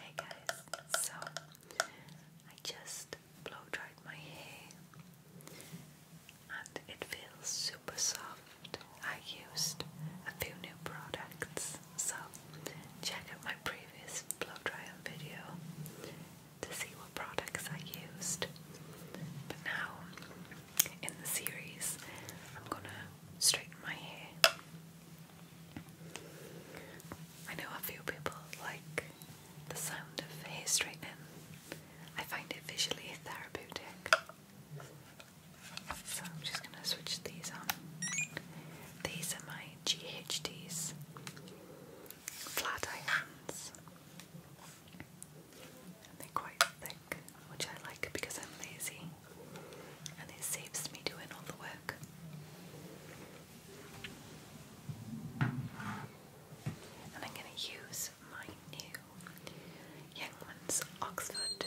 Hey guys, so I just blow dried my hair and it feels super soft. I used a few new products, so check out my previous blow dry video to see what products I used. But now in the series, I'm gonna straighten my hair. I know a few people like the sound of hair straightening. I find it visually therapeutic. So I'm just going to switch these on. These are my GHDs, flat irons, and they're quite thick which I like because I'm lazy and it saves me doing all the work. And I'm going to use my new Youngman's Oxford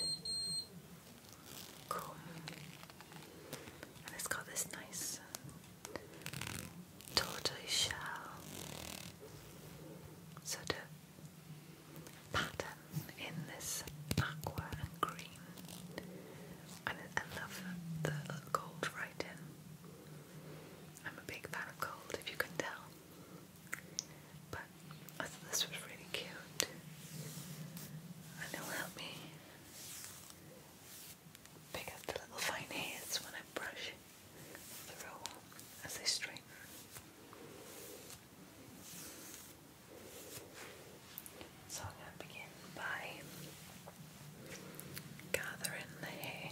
comb. And it's got this nice tortoise sort of pattern in this aqua and green. And I love the gold writing. I'm a big fan of gold, if you can tell. But this was really cute. And it'll help me pick up the little fine hairs when I brush the as they straighten. So I'm going to begin by gathering the hair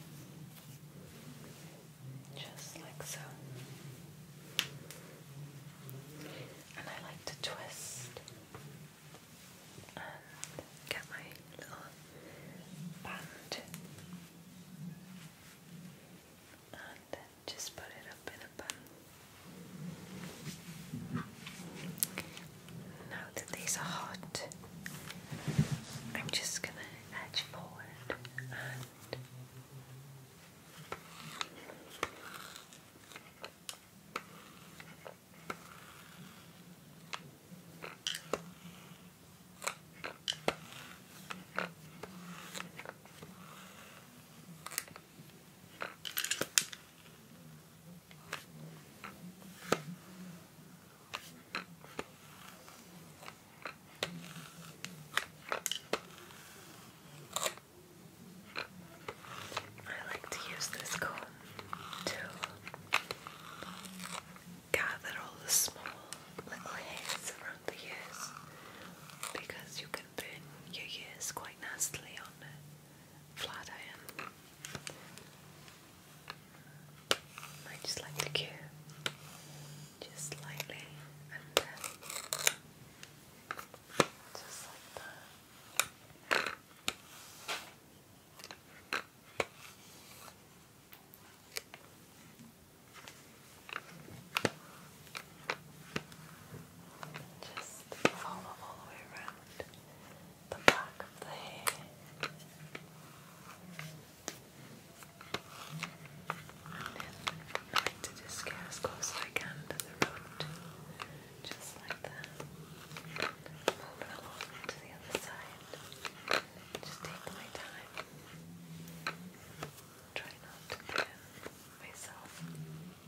just like so. And I like to twist and get my little band just put it up in a bun. Now that these are hot, I'm just going to edge forward and I like to use this comb to gather all the small little hairs around the ears because you can open your ears quite nastily on a flat iron. Might just like the cue, just slightly, and then uh, just like that. Just follow all the way around the back of the hair. And then I like to close as I can to the just like that. Moving along to the other side. Just take my time. Try not to burn myself.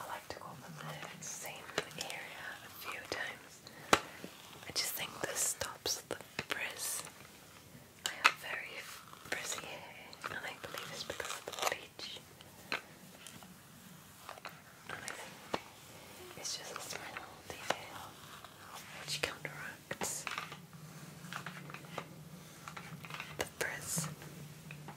I like to go over the same area a few times. I just think this stops the frizz. I have very frizzy hair, and I believe it's because of the bleach. it's just a smell detail the which counteracts the frizz.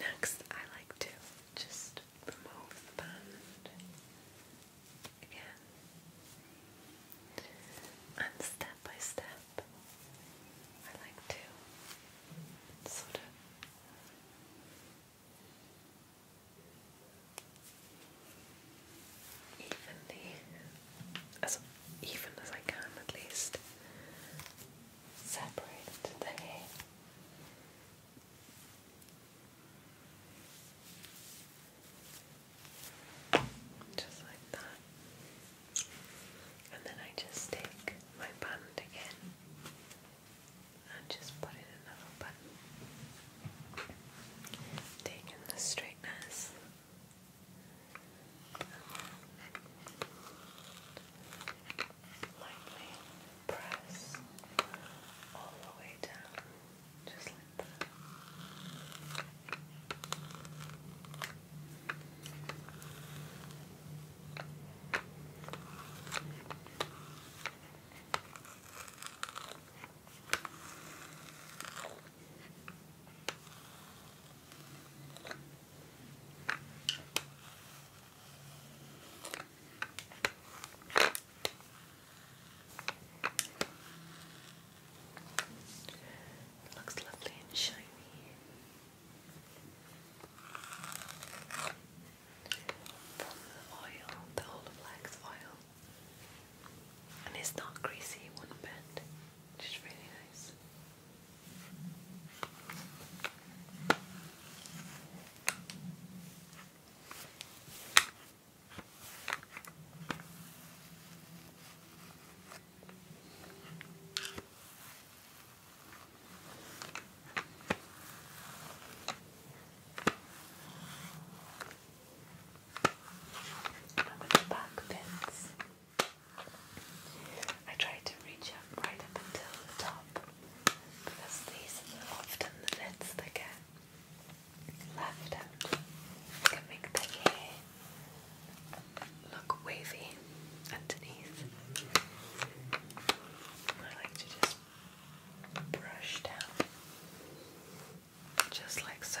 Next, I like to just remove the band again and step by step. I like to sort of evenly, as even as I can at least, separate the hair. Just like that. And then I just take my band again and just put in a little bit. Taking the straightness. Lightly press all the way down, just like that. It looks lovely and shiny from the oil, the Olaplex oil. And it's not greasy one bit, which is really nice. I'm with the back pins. I try to reach up right up until the top because these are often the bits that get left out. can make the hair look wavy underneath. I like to just brush down just like so.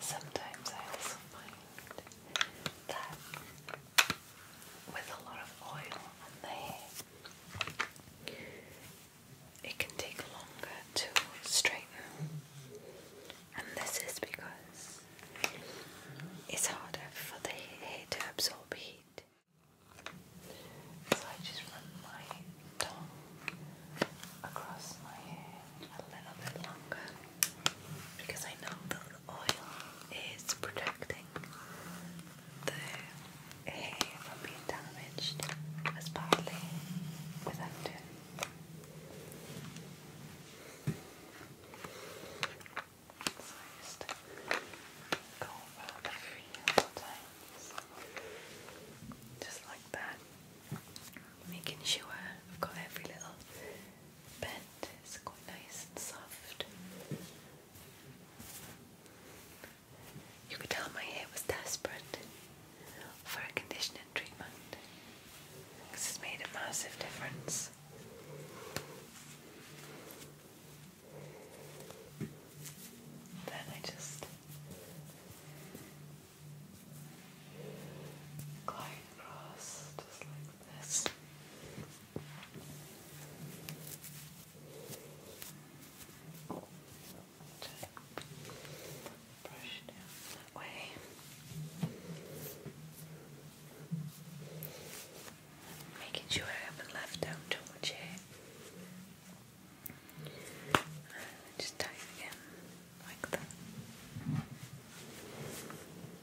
Sometimes I also find that with a lot of oil on the it can take longer to straighten. And this is because it's harder for the hair to absorb heat. So I just run my tongue across my hair a little bit longer because I know the oil is protecting the hair from being damaged as badly without it. Just like that. Making sure I've got every little bed is quite nice and soft. You could tell my hair was desperate for a conditioning treatment because it's made a massive difference. Then I just glide across just like this. Brush down that way. Making sure I haven't left out too much hair. just tie it again like that.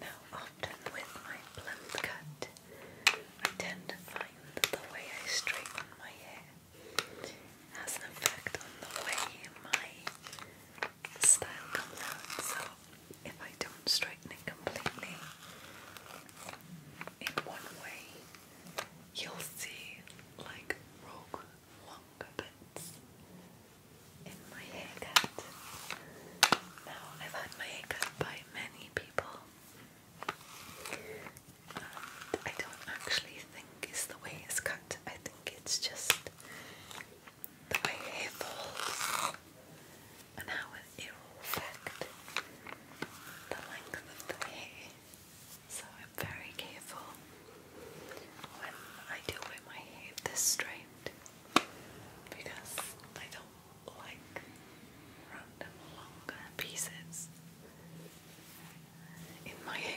Now, often with my blunt cut, I tend to find that the way I straighten my hair has an effect on the way my style comes out. So if I don't straighten completely in one way, you'll see like rogue longer bits in my haircut. Now I've had my haircut by many people. I don't actually think it's the way it's cut, I think it's just the way it falls and how it will affect the length of the hair. So I'm very careful when I do wear my hair this straight because I don't like random longer pieces in my hair.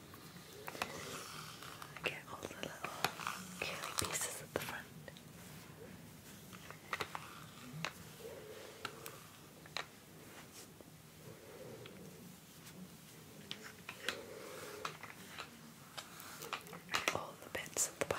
Get all the little curly pieces at the front. all the bits at the back.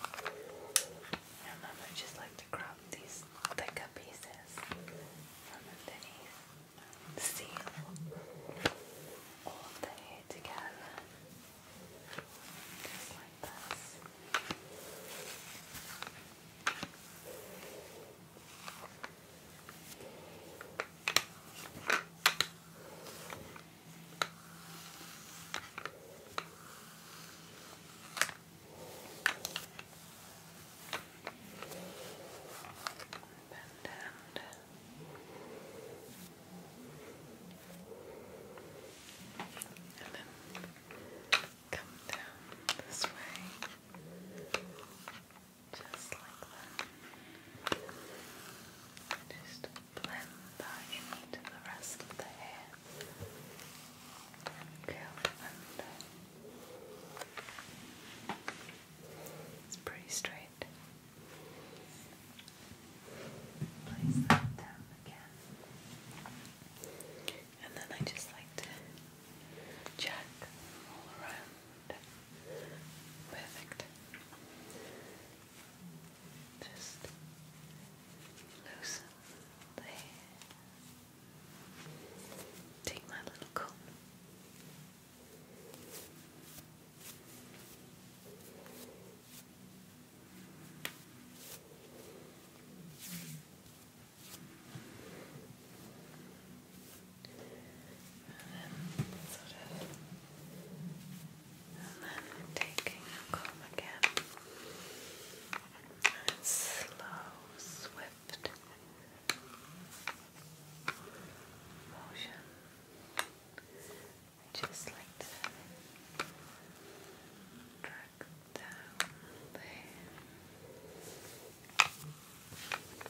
My mom would just like to crop these thicker pieces from underneath. Seal all the hair together. like this. Bend and and then come down this way just like that. Just blend that into the rest of the hair and curl under. It's pretty straight. Place that down again. And then I just like to check all around Perfect. Just loosen Take my little comb and then sort of, and then taking a comb again, slow, swift motion, just like Drag down there.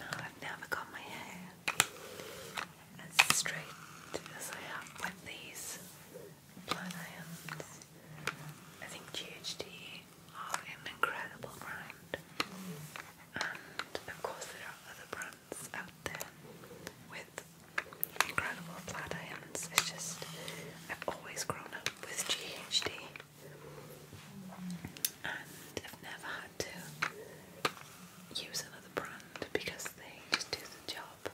I've never got my hair as straight as I have with these flat I think GHD are an incredible brand, and of course, there are other brands out there with incredible flat It's just I've always grown up with GHD and I've never had to use another brand because they just do the job.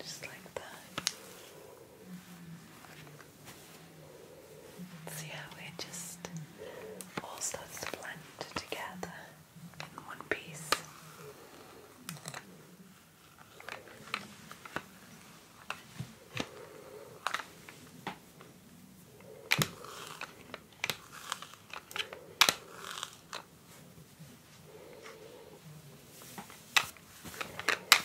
just like that. See how it just all starts to blend together in one piece.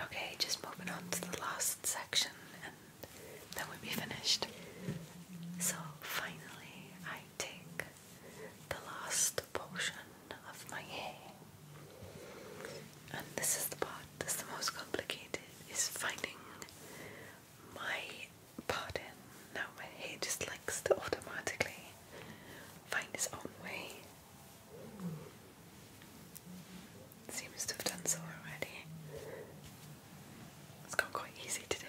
Okay, just moving on to the last section and then we'll be finished. So finally, I take the last portion of my hair. And this is the part that's the most complicated is finding my pattern. Now my hair just likes to automatically find its own way. Seems to have done so already. It's gone quite easy today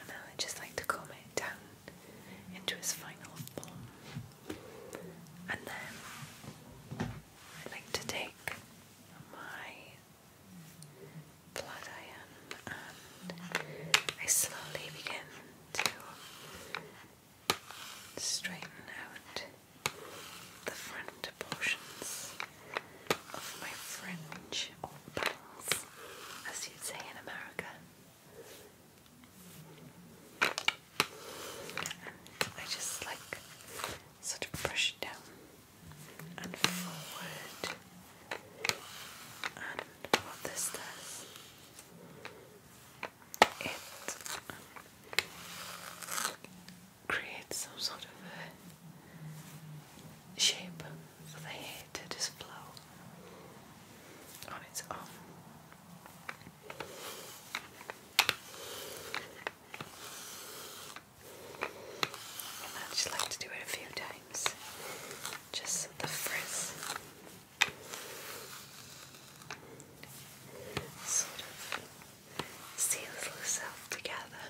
and I just like to comb it down into its final form. And then I like to take my flat iron and I slowly begin to straighten out the front portions of my fringe or bangs as you'd say in America. I just like sort of brush it down and forward. And what this does, it creates some sort of shape for the hair to just flow on its own. And I just like to do it a few times, just the frizz sort of seals itself together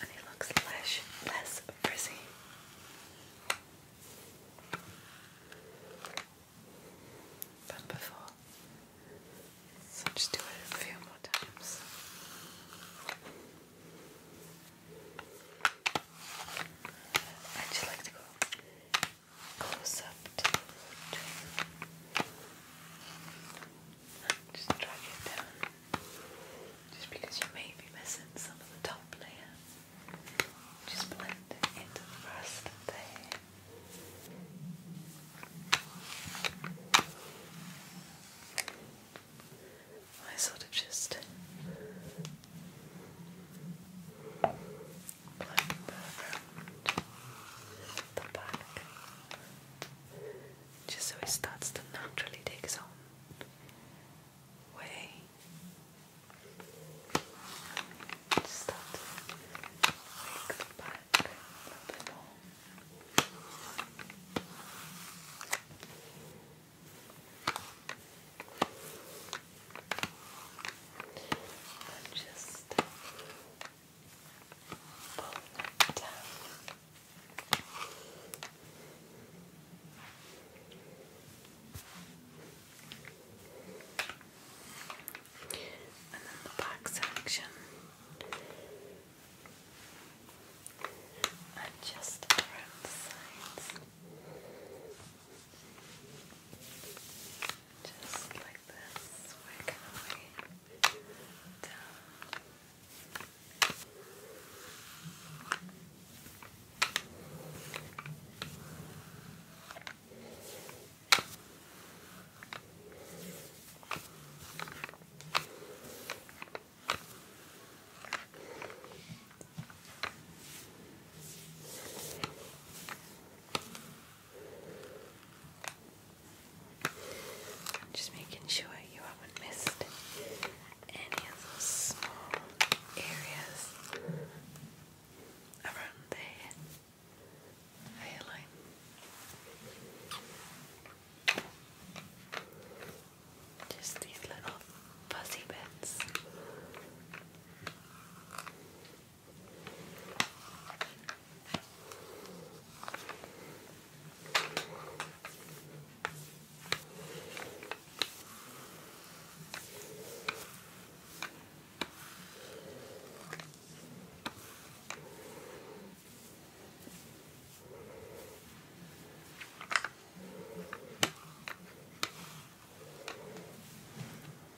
and it looks less, less frizzy. before. So just do it a few more times. I just like to go close up Just drag it down. Just because you may be missing some of the top layer. Just blend it into the rest of I sort of just blend around the back just so it starts to naturally take its way. Start make just pull that down. And then the back section. And just around the sides. Just like this, working away down i just making sure you haven't missed any of those small areas around the head, Just these little fuzzy bits.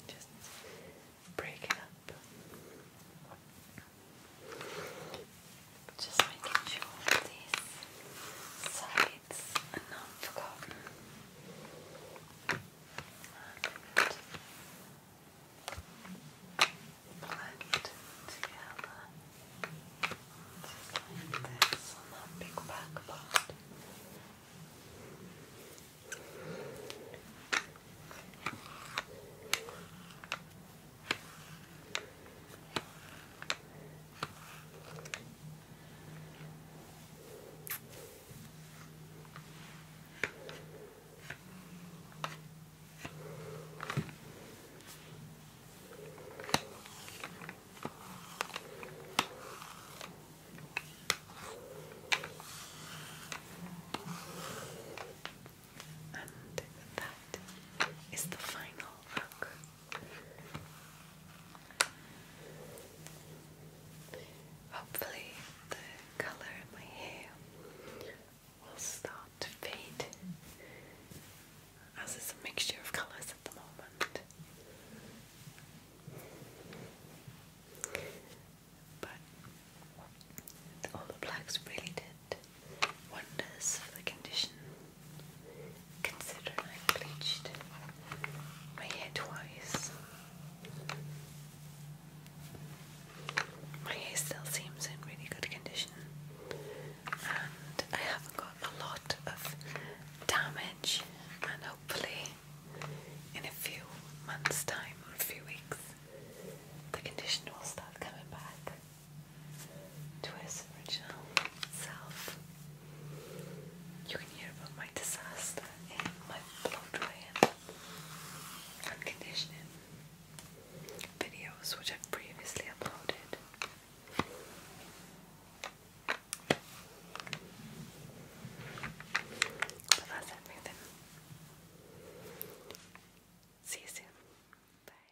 Just break up. Just making sure these sides lights, and now i together just like this on that big back and that is the final look. Hopefully, the colour of my hair will start to fade as it's a mixture of colours at the moment. But all the blacks really did wonders for the condition Consider I bleached my hair twice. My hair still seems in really good condition, and I haven't got a lot of damage. And hopefully, in a few months' time or a few weeks, the condition will start coming back to his original self. You can hear about my disaster and my blow drying and conditioning videos which I've previously uploaded. But that's everything. See you soon. Bye.